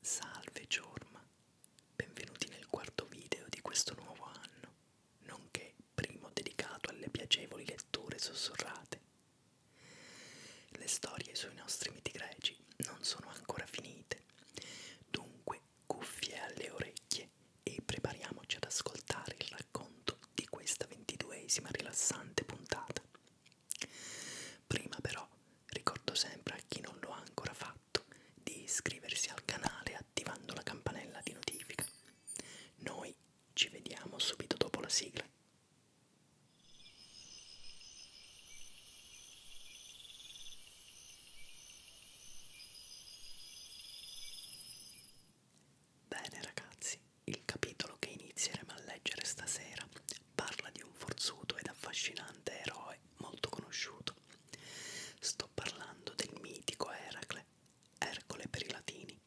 Salve Ciorma, benvenuti nel quarto video di questo nuovo anno, nonché primo dedicato alle piacevoli letture sussurrate. Le storie sui nostri miti greci non sono ancora finite, dunque cuffie alle orecchie e prepariamoci ad ascoltare il racconto di questa ventiduesima rilassante puntata Prima però ricordo sempre a chi non lo ha ancora fatto di iscriversi al canale attivando la campanella di notifica. Noi ci vediamo subito dopo la sigla. Bene ragazzi, il capitolo che inizieremo a leggere stasera parla di un forzuto ed affascinante eroe molto conosciuto. Sto parlando del mitico Eracle, Ercole per i latini.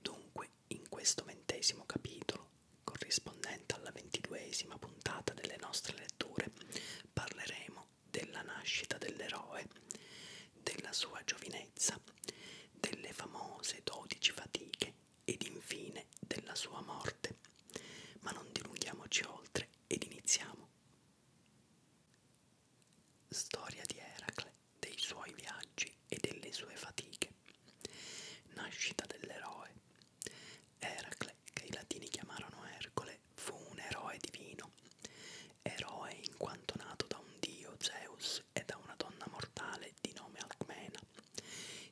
Dunque, in questo ventesimo capitolo, corrispondente alla ventiduesima puntata delle nostre letture, parleremo della nascita dell'eroe, della sua giovinezza, delle famose dodici fatiche ed infine della sua morte. Ma non dilunghiamoci oltre ed iniziamo. Storia di Eracle, dei suoi viaggi e delle sue fatiche. Nascita dell'eroe. Eracle, che i latini chiamarono Ercole, fu un eroe divino, eroe in quanto nato da un dio Zeus e da una donna mortale di nome Alcmena.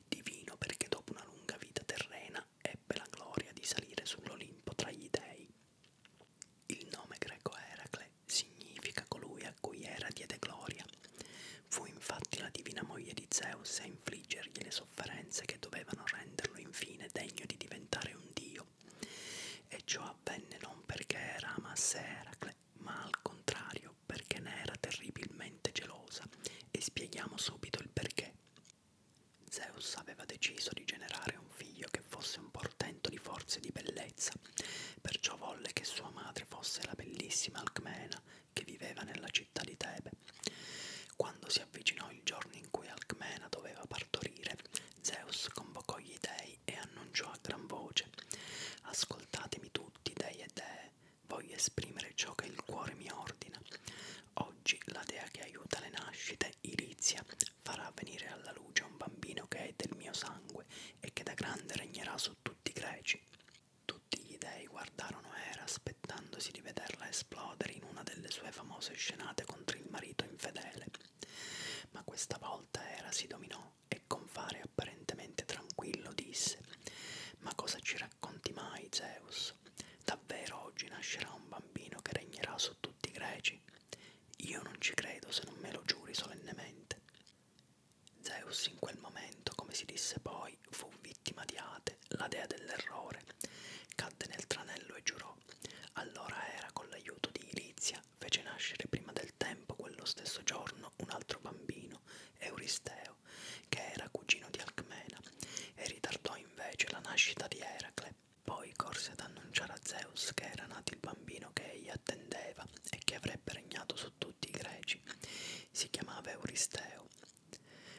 Divino perché dopo una lunga vita terrena ebbe la gloria di salire sull'Olimpo tra gli dei. Il nome greco Eracle significa colui a cui Era diede gloria. Fu infatti la divina moglie di Zeus a infliggergli le sofferenze che dovevano renderlo infine degno di diventare un dio Dio. E ciò avvenne non perché era amasse Eracle, ma al contrario perché ne era terribilmente gelosa, e spieghiamo subito il perché. Zeus aveva deciso di generare un figlio che fosse un portento di forze e di bellezza, perciò volle che sua madre fosse la bellissima Alcmena che viveva nella città di Tebe. Quando si avvicinò il giorno in cui Alcmena doveva partorire, Zeus convocò gli dei e annunciò a gran voce Ascoltatemi tutti, dei e dee, voglio esprimere ciò che il cuore mi ordina. Oggi la dea che aiuta le nascite, Irizia, farà venire alla luce un bambino che è del mio sangue e che da grande regnerà su tutti i greci. Tutti gli dei guardarono Era aspettandosi di vederla esplodere in una delle sue famose scenate contro il marito infedele. Ma questa volta Era si dominò e con fare apparentemente tranquillo disse Ma cosa ci racconti mai, Zeus? Davvero oggi nascerà un bambino che regnerà su tutti i greci? Io non ci credo se non me lo giuri solennemente. Zeus in quel momento, come si disse poi, fu vittima di Ate, la dea dell'errore, cadde nel tranello e giurò Marco. Allora era con l'aiuto di Irizia fece nascere prima del tempo quello stesso giorno un altro bambino, Euristeo, che era cugino di Alcmena, e ritardò invece la nascita di Eracle. Poi corse ad annunciare a Zeus che era nato il bambino che egli attendeva e che avrebbe regnato su tutti i greci. Si chiamava Euristeo.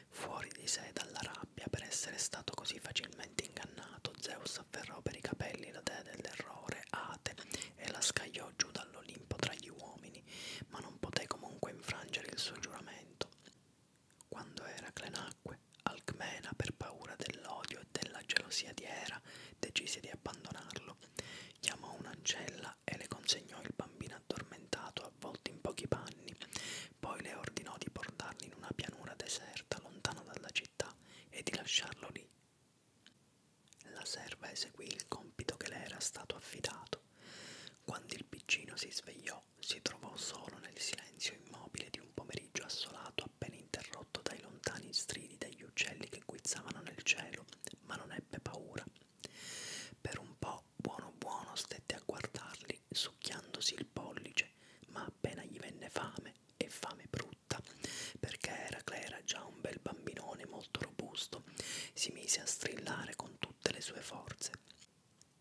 Fuori di sé dalla rabbia per essere stato così facilmente ingannato rovinato, Zeus afferrò per i capelli la dea dell'errore, Ate, e la scagliò giù dall'Olimpo tra gli uomini, ma non poté comunque infrangere il suo giuramento. Quando Eracle nacque, Alcmena, per paura dell'odio e della gelosia di Era, decise di abbandonarlo. Chiamò un'ancella e le consegnò il bambino addormentato avvolto in pochi panni. Poi le ordinò di portarli in una pianura deserta lontano dalla città e di lasciarlo lì. La serva eseguì il compito che le era stato affidato. Quando il piccino si svegliò, si trovò solo nel silenzio immobile di un pomeriggio assolato appena interrotto dai lontani stridi degli uccelli che guizzavano nel cielo, ma non ebbe paura. Per un po' buono buono stette a guardarli denti succhiandosi il pollice, ma appena gli venne fame, e fame brutta, perché Eracle era già un bel bambinone molto robusto, si mise a strillare con tutte le sue forze.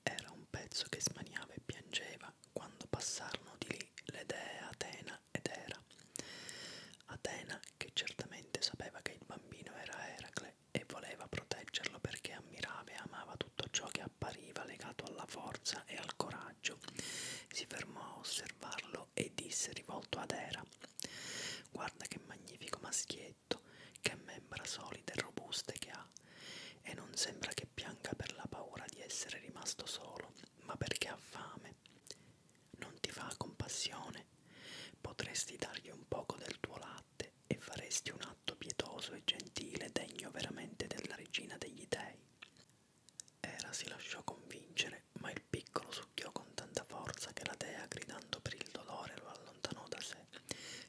Era un pezzo che smaniava e piangeva quando passarono di lì le dee Atena ed Era. Atena, che certamente sapeva che il bambino era Eracle e voleva proteggerlo perché ammirava e amava tutto ciò che appariva legato alla forza e al coraggio. Si fermò a osservarlo e disse rivolto ad Era Guarda che magnifico maschietto, che membra solide e robuste che ha, e non sembra che pianga per la paura di essere rimasto solo, ma perché ha fame. Non ti fa compassione? Potresti dargli un poco del tuo latte fatte e faresti un atto pietoso e gentile degno veramente della regina degli dei. Era si lasciò convincere, ma il piccolo succhiò con tanta forza che la dea, gridando per il dolore, lo allontanò da sé,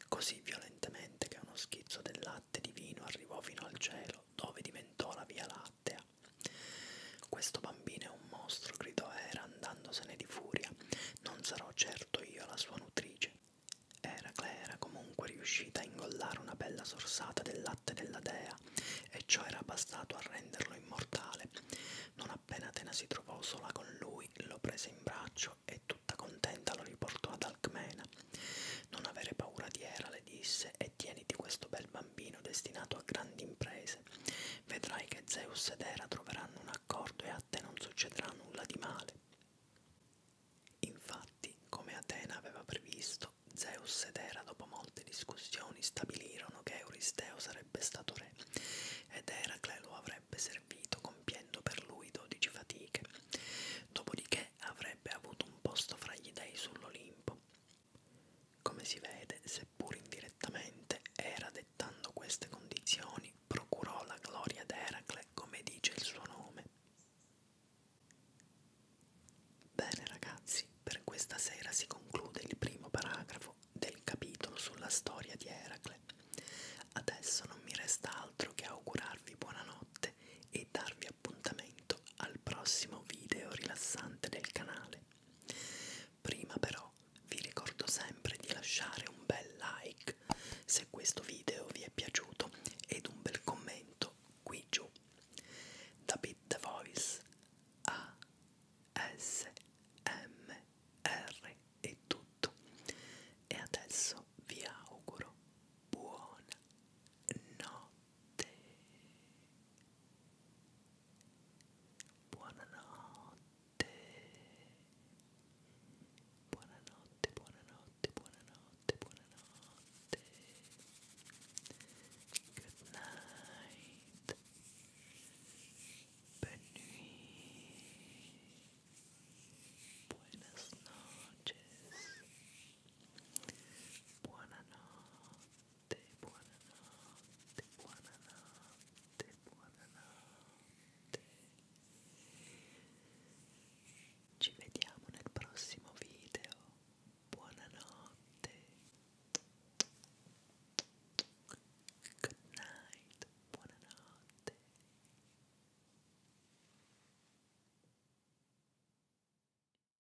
così violentemente che uno schizzo del latte divino arrivò fino al cielo, dove diventò la via lattea. Questo bambino è un mostro, gridò Era andandosene di furia. Non sarò certo io la sua nutrice. Eracle era comunque riuscita a ingollare una bella sorsata del latte della dea e ciò era bastato a renderlo immortale. Non appena Atena si trovò sola con lui, lo prese in braccio e tutta contenta lo riportò ad Alcmena. Non avere paura di Era, le disse, e tieniti questo bel bambino destinato a grandi imprese paese. Vedrai che Zeus ed Era troveranno un accordo e a te non succederà nulla di male. Infatti, come Atena aveva previsto, Zeus ed Era, dopo molte discussioni, stabilirono che Euristeo sarebbe stato re ed Eracle lo avrebbe servito compiendo per lui dodici fatiche, dopodiché avrebbe avuto un posto fra gli dei sull'Olimpo. Come si vede, seppur indirettamente, Era dettando queste condizioni procurò la gloria ad Eracle come dice il suo nome. Bene ragazzi, per questa sera si conclude il primo paragrafo del capitolo sulla storia di Eracle. Adesso non mi resta altro che augurarvi buonanotte e darvi appuntamento al prossimo video rilassante del canale. Prima però vi ricordo sempre di lasciare un bel like se questo video vi è piaciuto ed un bel commento qui giù. Da Beat the Voice a S M R è tutto e adesso vi auguro buona notte. Buonanotte. Buonanotte, buonanotte, buonanotte, buonanotte. Good night. Bonne nuit. Buenas noches. Buonanotte. buonanotte, buonanotte, buonanotte, buonanotte. Ci vediamo nel prossimo video. Buonanotte. Good night. Buonanotte.